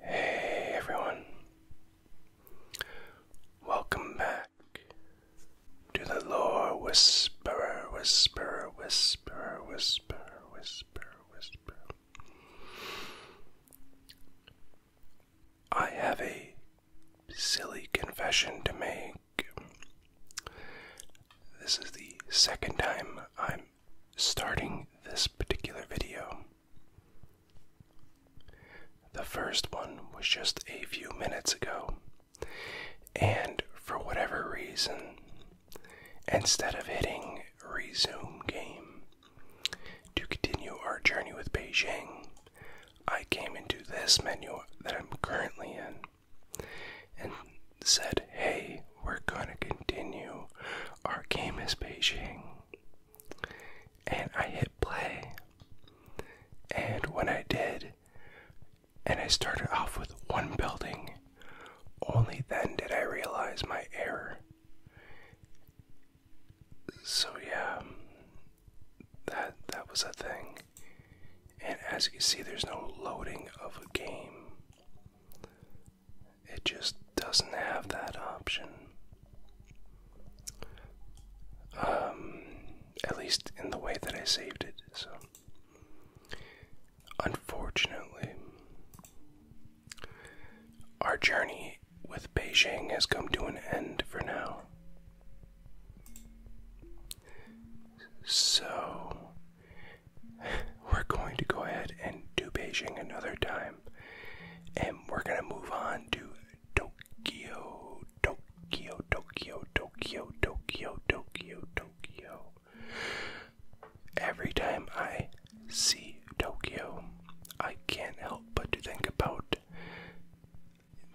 Hey everyone, welcome back to the Lore Whisperer, Whisperer, Whisperer, Whisperer, Whisperer, Whisperer. I have a silly confession to make. This is the second time I'm starting this particular video. The first one was just a few minutes ago, and for whatever reason, instead of hitting resume game to continue our journey with Beijing, I came into this menu that I'm currently in and said, Hey, we're gonna continue. Our game is Beijing and I hit play. And when I did, and I started off with one building, only then did I realize my error. So yeah, that that was a thing. And as you can see, there's no loading of a game. It just doesn't have that option. Um, at least in the way that I saved it, so. Unfortunately, our journey with Beijing has come to an end for now. So, we're going to go ahead and do Beijing another time, and we're gonna move on to Tokyo, Tokyo, Tokyo, Tokyo, Tokyo, Tokyo, Tokyo. Every time I see Tokyo, I can't help but to think about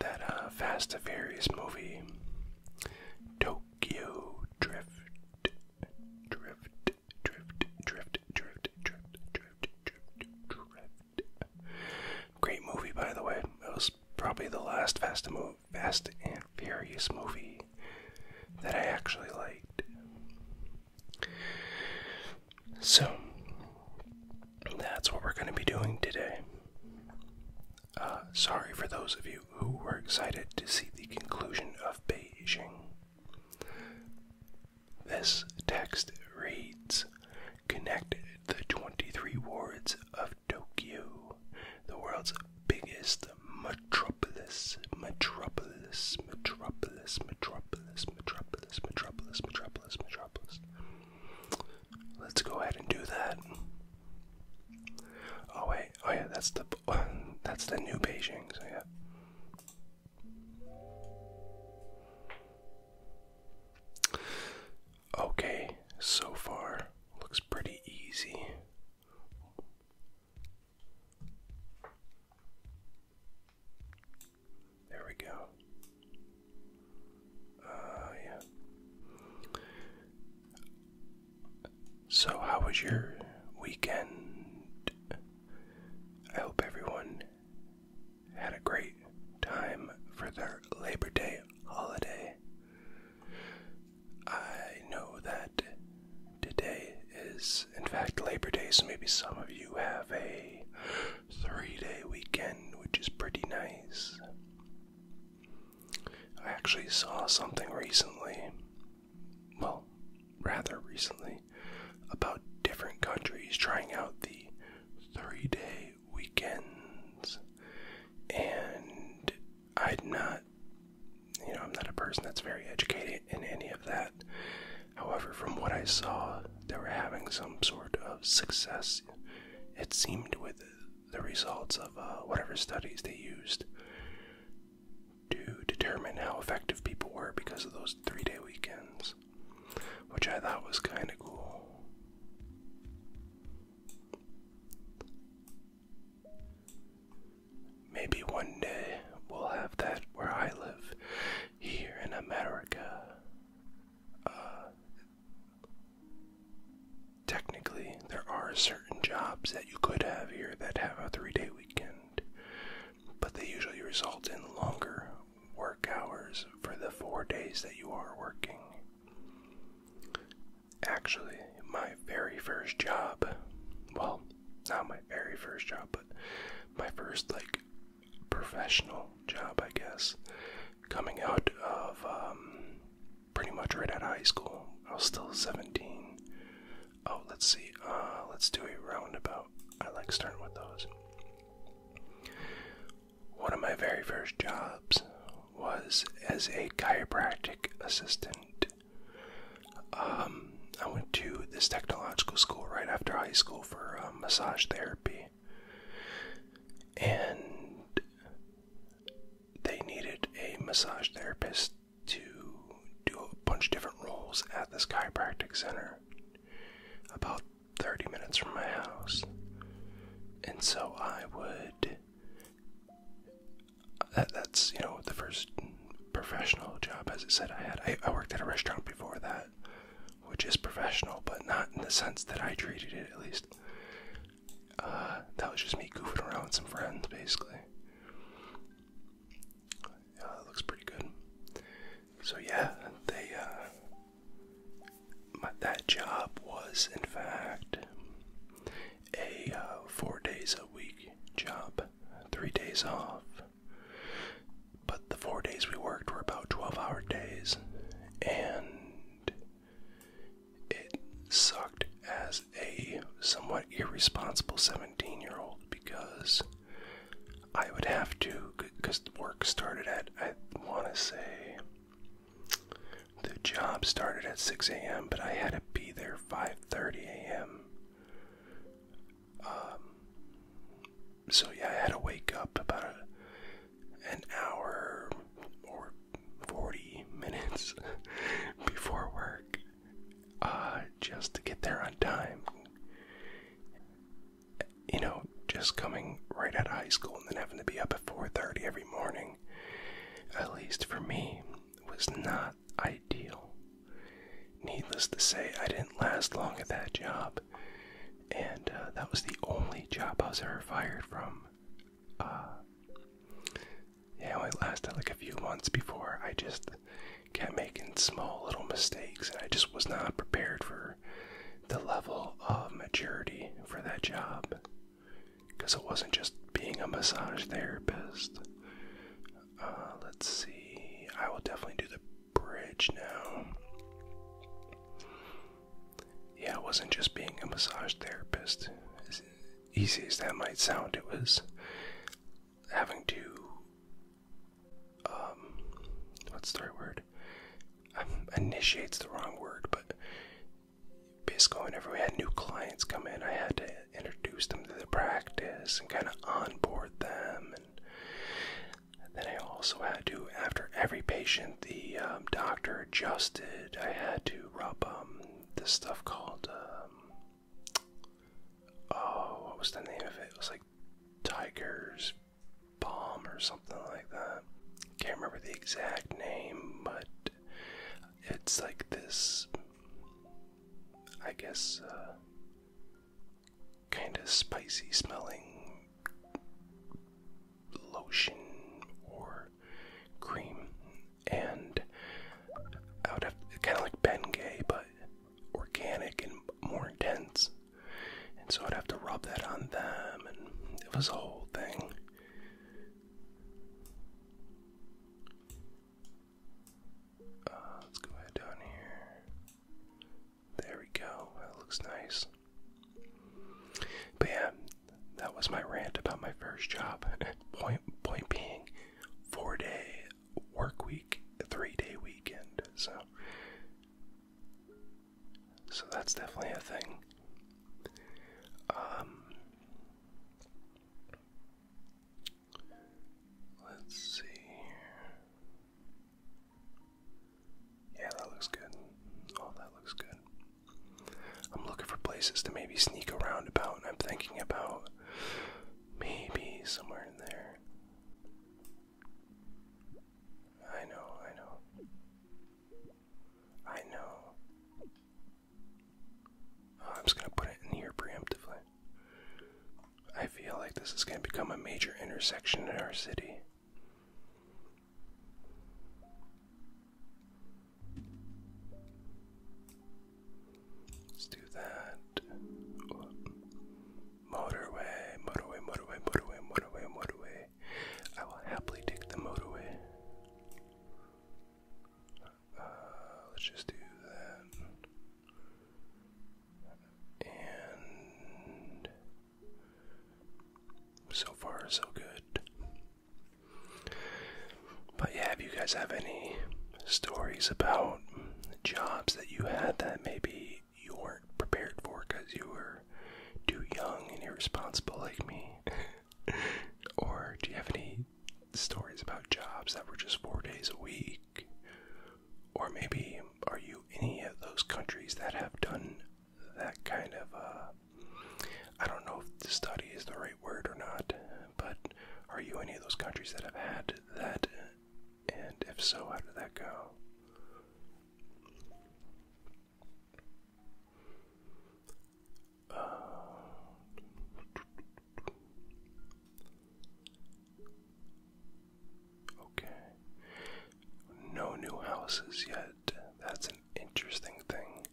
that uh, Fast and Furious movie, Tokyo Drift, Drift, drift, drift, drift, drift, drift, drift, drift. Great movie, by the way. It was probably the last Fast and, Fast and Furious movie that I actually liked. So, that's what we're going to be doing today. Uh, sorry for those of you who were excited to see the conclusion of Beijing. This text reads Connect the 23 wards of Tokyo, the world's biggest metropolis, metropolis, metropolis, metropolis, metropolis, metropolis, metropolis, metropolis. Let's go ahead and do that. Oh wait, oh yeah, that's the that's the new Beijing, so yeah. Okay, so far looks pretty easy. There we go. Uh, yeah. So, how was your weekend? I hope everyone had a great time for their Labor Day holiday. I know that today is, in fact, Labor Day, so maybe some of you have a three day weekend, which is pretty nice. I actually saw something recently, well, rather recently, about different countries trying out the three day weekends. And I'd not, you know, I'm not a person that's very educated in any of that. However, from what I saw, they were having some sort of success, it seemed, with the results of uh, whatever studies they used to determine how effective people were because of those three day weekends which I thought was kind of cool. Maybe one day we'll have that where I live here in America. Uh, technically, there are certain jobs that you could have here that have a three day weekend, but they usually result in longer work hours for the four days that you are working. Actually, my very first job, well, not my very first job, but my first, like, professional job, I guess, coming out of um, pretty much right out of high school. I was still 17. Oh, let's see. Uh, let's do a roundabout. I like starting with those. One of my very first jobs was as a chiropractic assistant. Um, I went to this technological school right after high school for uh, massage therapy. And they needed a massage therapist to do a bunch of different roles at this chiropractic center. About 30 minutes from my house. And so I would. that's, you know, the first professional job, as I said, I had. I, worked at a restaurant before that, which is professional, but not in the sense that I treated it, at least. Uh, that was just me goofing around with some friends, basically. Yeah, uh, that looks pretty good. So yeah, they uh, that job was in fact a uh, four days a week job, three days off. But the four days we worked were about 12 hour days, and it sucked as a somewhat irresponsible 17 year old because I would have to, because the work started at, I want to say, the job started at 6 a.m., but I had to be there 5.30 a.m. Um, so yeah, I had to wake up about an hour or 40 minutes before work uh, just to get there on time you know, just coming right out of high school and then having to be up at 4:30 every morning, at least for me, was not ideal. Needless to say, I didn't last long at that job, and uh, that was the only job I was ever fired from. Uh, yeah, I lasted like a few months before I just kept making small little mistakes, and I just was not prepared for the level of maturity for that job because it wasn't just being a massage therapist. Uh, let's see. I will definitely do the bridge now. Yeah, it wasn't just being a massage therapist. As easy as that might sound, it was having to um, what's the right word? Um, initiates the wrong word, but basically, whenever we had new clients come in, I had to introduce them to the practice and kind of onboard them. And then I also had to, after every patient, the um, doctor adjusted. I had to rub um, this stuff called, oh, what was the name of it? It was like Tiger's Palm or something like that. Can't remember the exact name, but it's like this, I guess, uh, kind of spicy smelling lotion or cream. And I would have kind of like Bengay, but organic and more intense. And so I'd have to rub that on them, and it was a whole thing. Uh, let's go ahead down here. There we go. That looks nice. But yeah, that was my rant about my first job. point point being, four day work week, three day weekend. So so that's definitely a thing. Um, let's see Yeah, that looks good. Oh, that looks good. I'm looking for places to maybe sneak around about, I'm thinking about maybe somewhere in there. I know, I know. I know. Oh, I'm just going to put it in here preemptively. I feel like this is going to become a major intersection in our city. Let's do that. Motorway, motorway, motorway, motorway, motorway, motorway. I will happily take the motorway. Uh, let's just do that. And so far, so good. But yeah, if you guys have any stories about jobs that you had that maybe you weren't prepared for because you were too young and irresponsible like me? or do you have any stories about jobs that were just four days a week? Or maybe are you any of those countries that have done that kind of, uh, I don't know if the study is the right word or not, but are you any of those countries that have had that? And if so, how did that go? Uh, okay. No new houses yet. That's an interesting thing.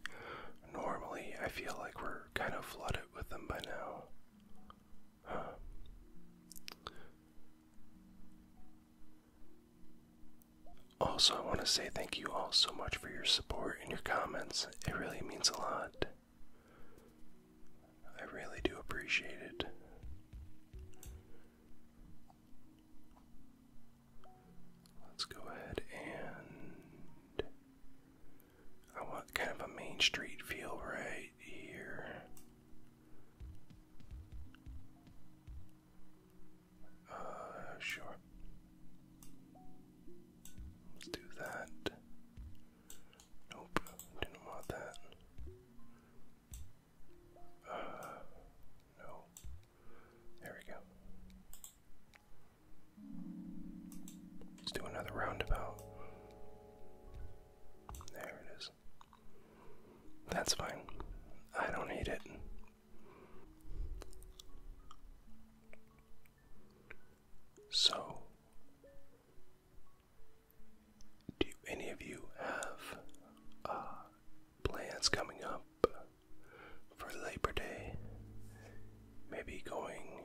Normally, I feel like we're kind of flooded with them by now. Also, I want to say thank you all so much for your support and your comments. It really means a lot. I really do appreciate it. Let's go ahead and. I want kind of a Main Street feel right here. Uh, sure. Let's do that. Nope, didn't want that. Uh, no. There we go. Let's do another roundabout. There it is. That's fine. I don't need it. So, do any of you have uh, plans coming up for Labor Day? Maybe going,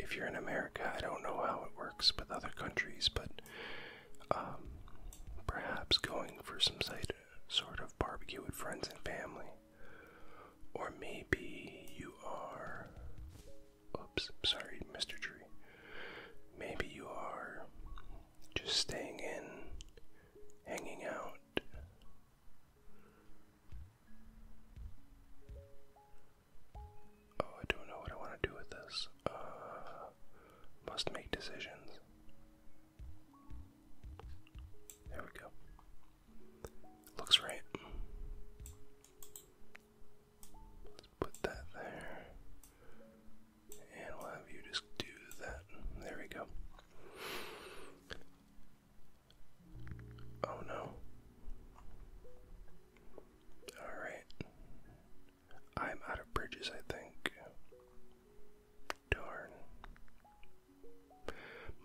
if you're in America, I don't know how it works with other countries, but um, perhaps going for some sight sort of barbecue with friends and family. Or maybe you are. Oops, sorry, Mr. Tree. Maybe you are just staying in, hanging out. Oh, I don't know what I want to do with this. Uh, must make decisions. There we go. Looks right. Let's put that there. And we'll have you just do that. There we go. Oh no. Alright. I'm out of bridges, I think. Darn.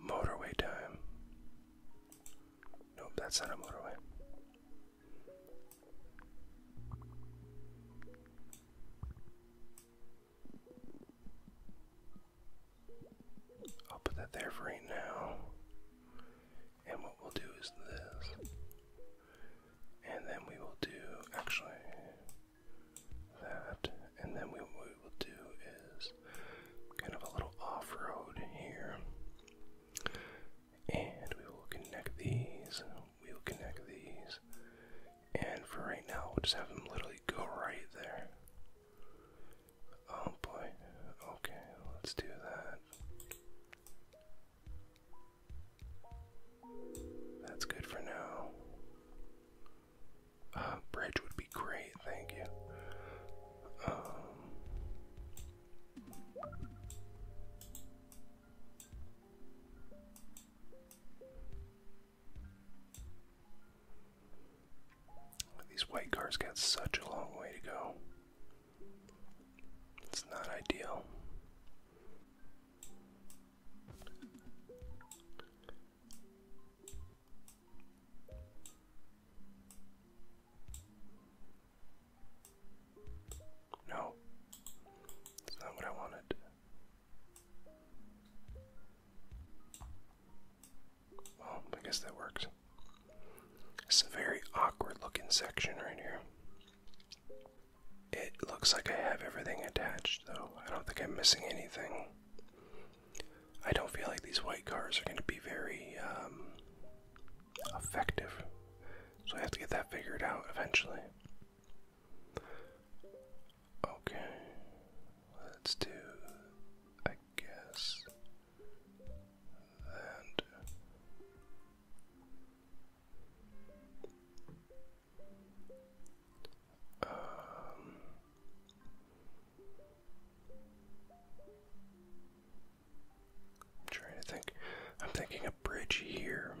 Motorway time. Nope, that's not a motorway. I'll put that there for right now. And what we'll do is this. And then we will do actually that. And then what we will do is kind of a little off-road here. And we will connect these. We'll connect these. And for right now, we'll just have them literally go right there. Oh boy. Okay, let's do that. That's good for now. Uh, bridge would be great, thank you. Um, these white cars got such a long way to go. It's not ideal. No, it's not what I wanted. Well, I guess that works. It's a very awkward looking section right here. It looks like I have everything attached, though. I don't think I'm missing anything. I don't feel like these white cars are going to be very um, effective, so I have to get that figured out eventually. Okay, let's do, I guess, that. Um, I'm trying to think. I'm thinking a bridge here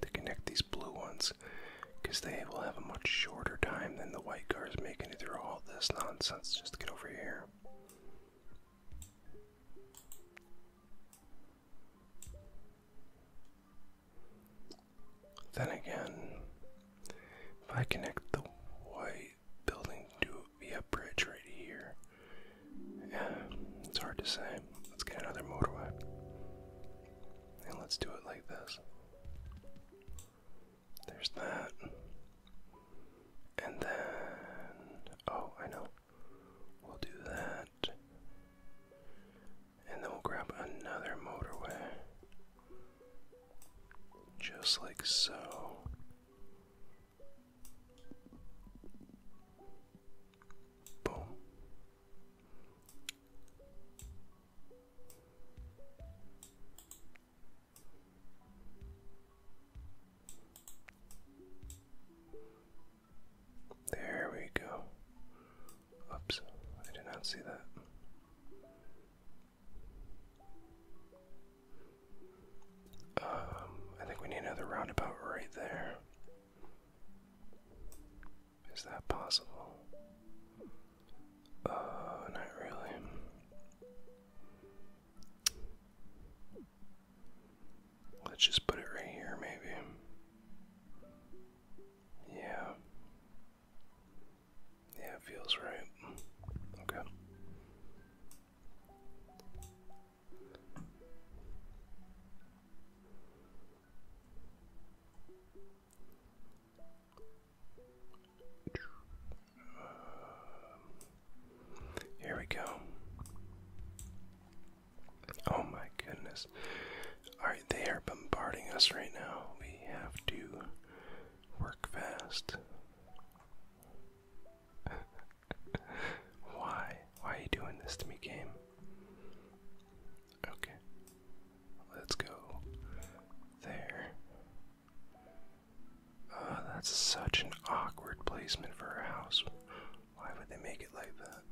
to connect these blue ones because they will have a much shorter time than the white cars making it through all this nonsense just to get over here. Then again, if I connect the white building to via bridge right here, yeah, it's hard to say. Let's get another motorway. And let's do it like this. There's that. And then, oh, I know. We'll do that. And then we'll grab another motorway. Just like so. Boom. There we go. Oops, I did not see that. Um, I think we need another roundabout right there. Is that possible? Uh, not really. Let's just put it right here, maybe. Yeah. Yeah, it feels right. Okay. Uh, here we go. Oh my goodness, Alright, they are bombarding us right now. We have to work fast. Why? Why are you doing this to me, game? Okay. Let's go there. Ah, that's such an awkward placement for a house. Why would they make it like that?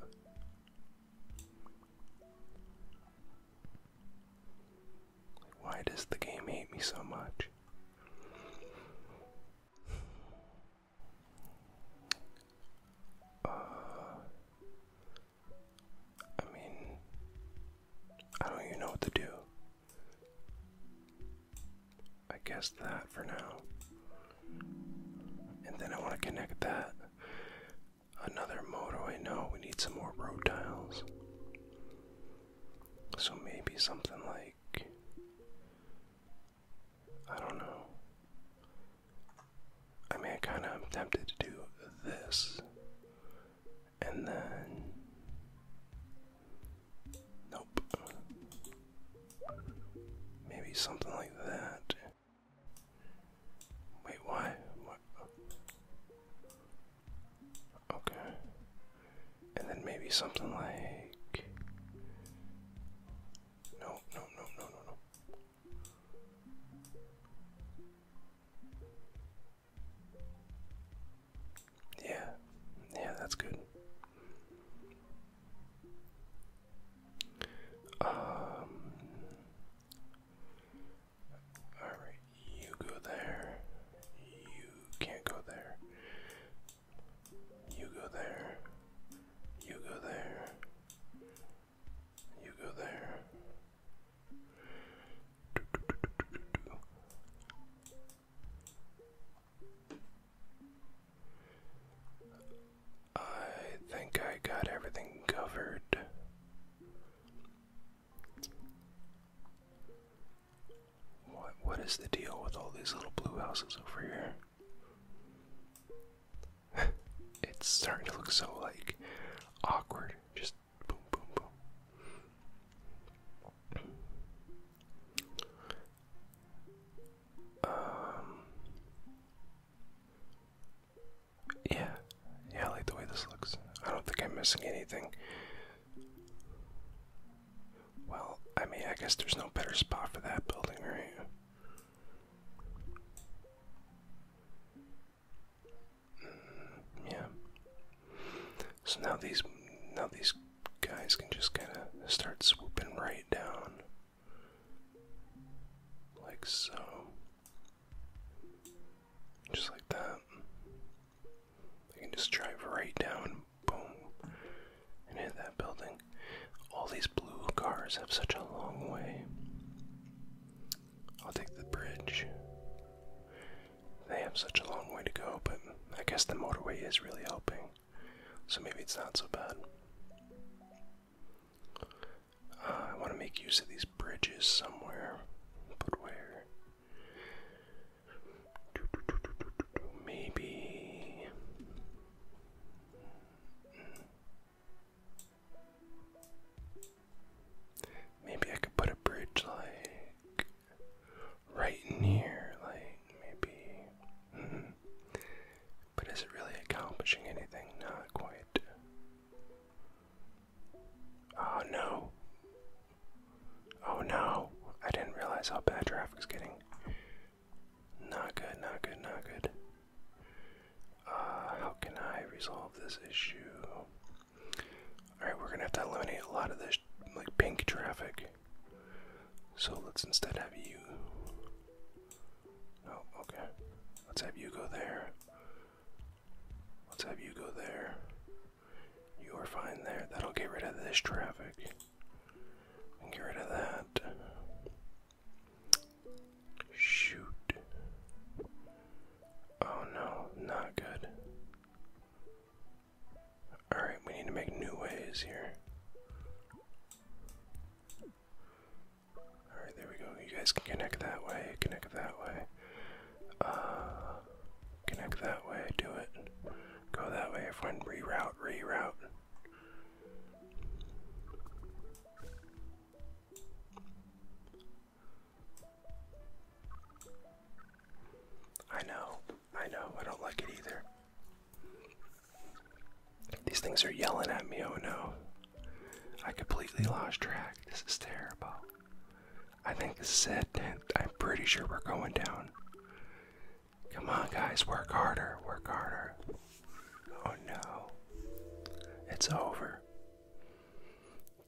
Why does the game hate me so much? Uh, I mean, I don't even know what to do. I guess that for now. And then I want to connect that Another I know we need some more road tiles. So maybe something like. I don't know. I mean, I kind of am tempted to do this. And then. Nope. Maybe something like that. Wait, why? What? Okay. And then maybe something like. No, no, no, no, no, no. Yeah, yeah, that's good. Um, Alright, you go there. You can't go there. You go there. You go there. You go there. Do, do, do, do, do, do. I think I got everything covered. What what is the deal with all these little blue houses over here? it's starting to look so like awkward. Just boom boom boom. Um, yeah, yeah, I like the way this looks. I don't think I'm missing anything. Well, I mean, I guess there's no better spot for that building, right? Mm, yeah. So now these now these guys can just kind of start swooping right down, like so. Just like that. I can just drive right down, boom, and hit that building. All these blue cars have such a long way. I'll take the bridge. They have such a long way to go, but I guess the motorway is really helping. So maybe it's not so bad. Uh, I want to make use of these bridges somewhere, but where? Maybe. Maybe I could put a bridge like right in like maybe. Mm-hmm. But is it really accomplishing anything? Not quite. Oh no. Oh no. I didn't realize how bad traffic traffic's getting. Not good, not good, not good. Uh, how can I resolve this issue? Alright, we're gonna have to eliminate a lot of this like pink traffic. So let's instead have you. Oh, okay. Let's have you go there. Let's have you go there. You are fine there. That'll get rid of this traffic. And get rid of that. Shoot. Oh no, not good. Alright, we need to make new ways here. Alright, there we go. You guys can connect that way, connect that way. Uh, connect that way, do it. Go that way, If find reroute, reroute. I know, I know, I don't like it either. These things are yelling at me, oh no. I completely lost track. This is terrible. I think this is it. I'm pretty sure we're going down. Come on, guys, work harder, work harder. Oh no, it's over.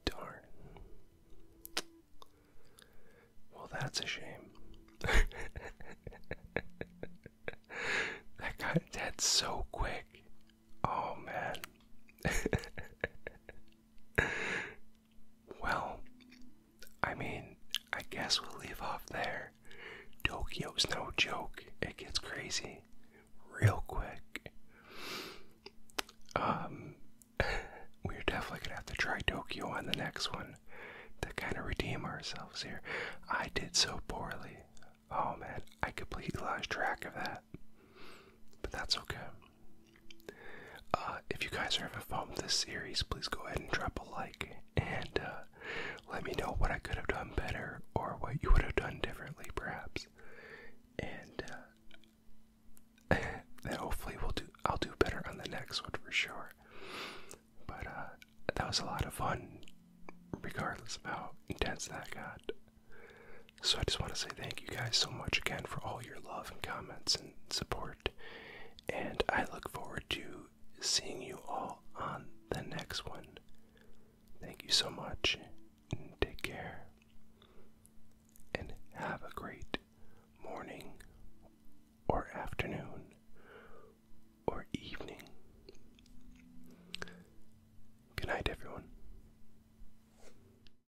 Darn. Well, that's a shame. that guy died so quick. Oh man. well, I mean, I guess we'll leave off there. Tokyo's no joke. It gets crazy real quick. Um, we're definitely gonna have to try Tokyo on the next one to kind of redeem ourselves here. I did so poorly. Oh man, I completely lost track of that. But that's okay. Uh, if you guys are ever fun with this series, please go ahead and drop a like and uh, let me know what I could have done better or what you would have done differently, perhaps. And then uh, hopefully we'll do. I'll do better on the next one for sure. But that was a lot of fun, regardless of how intense that got. So I just want to say thank you guys so much again for all your love and comments and support. And I look forward to seeing you all on the next one. Thank you so much. And take care. And have a great morning or afternoon or evening. Good night, everyone.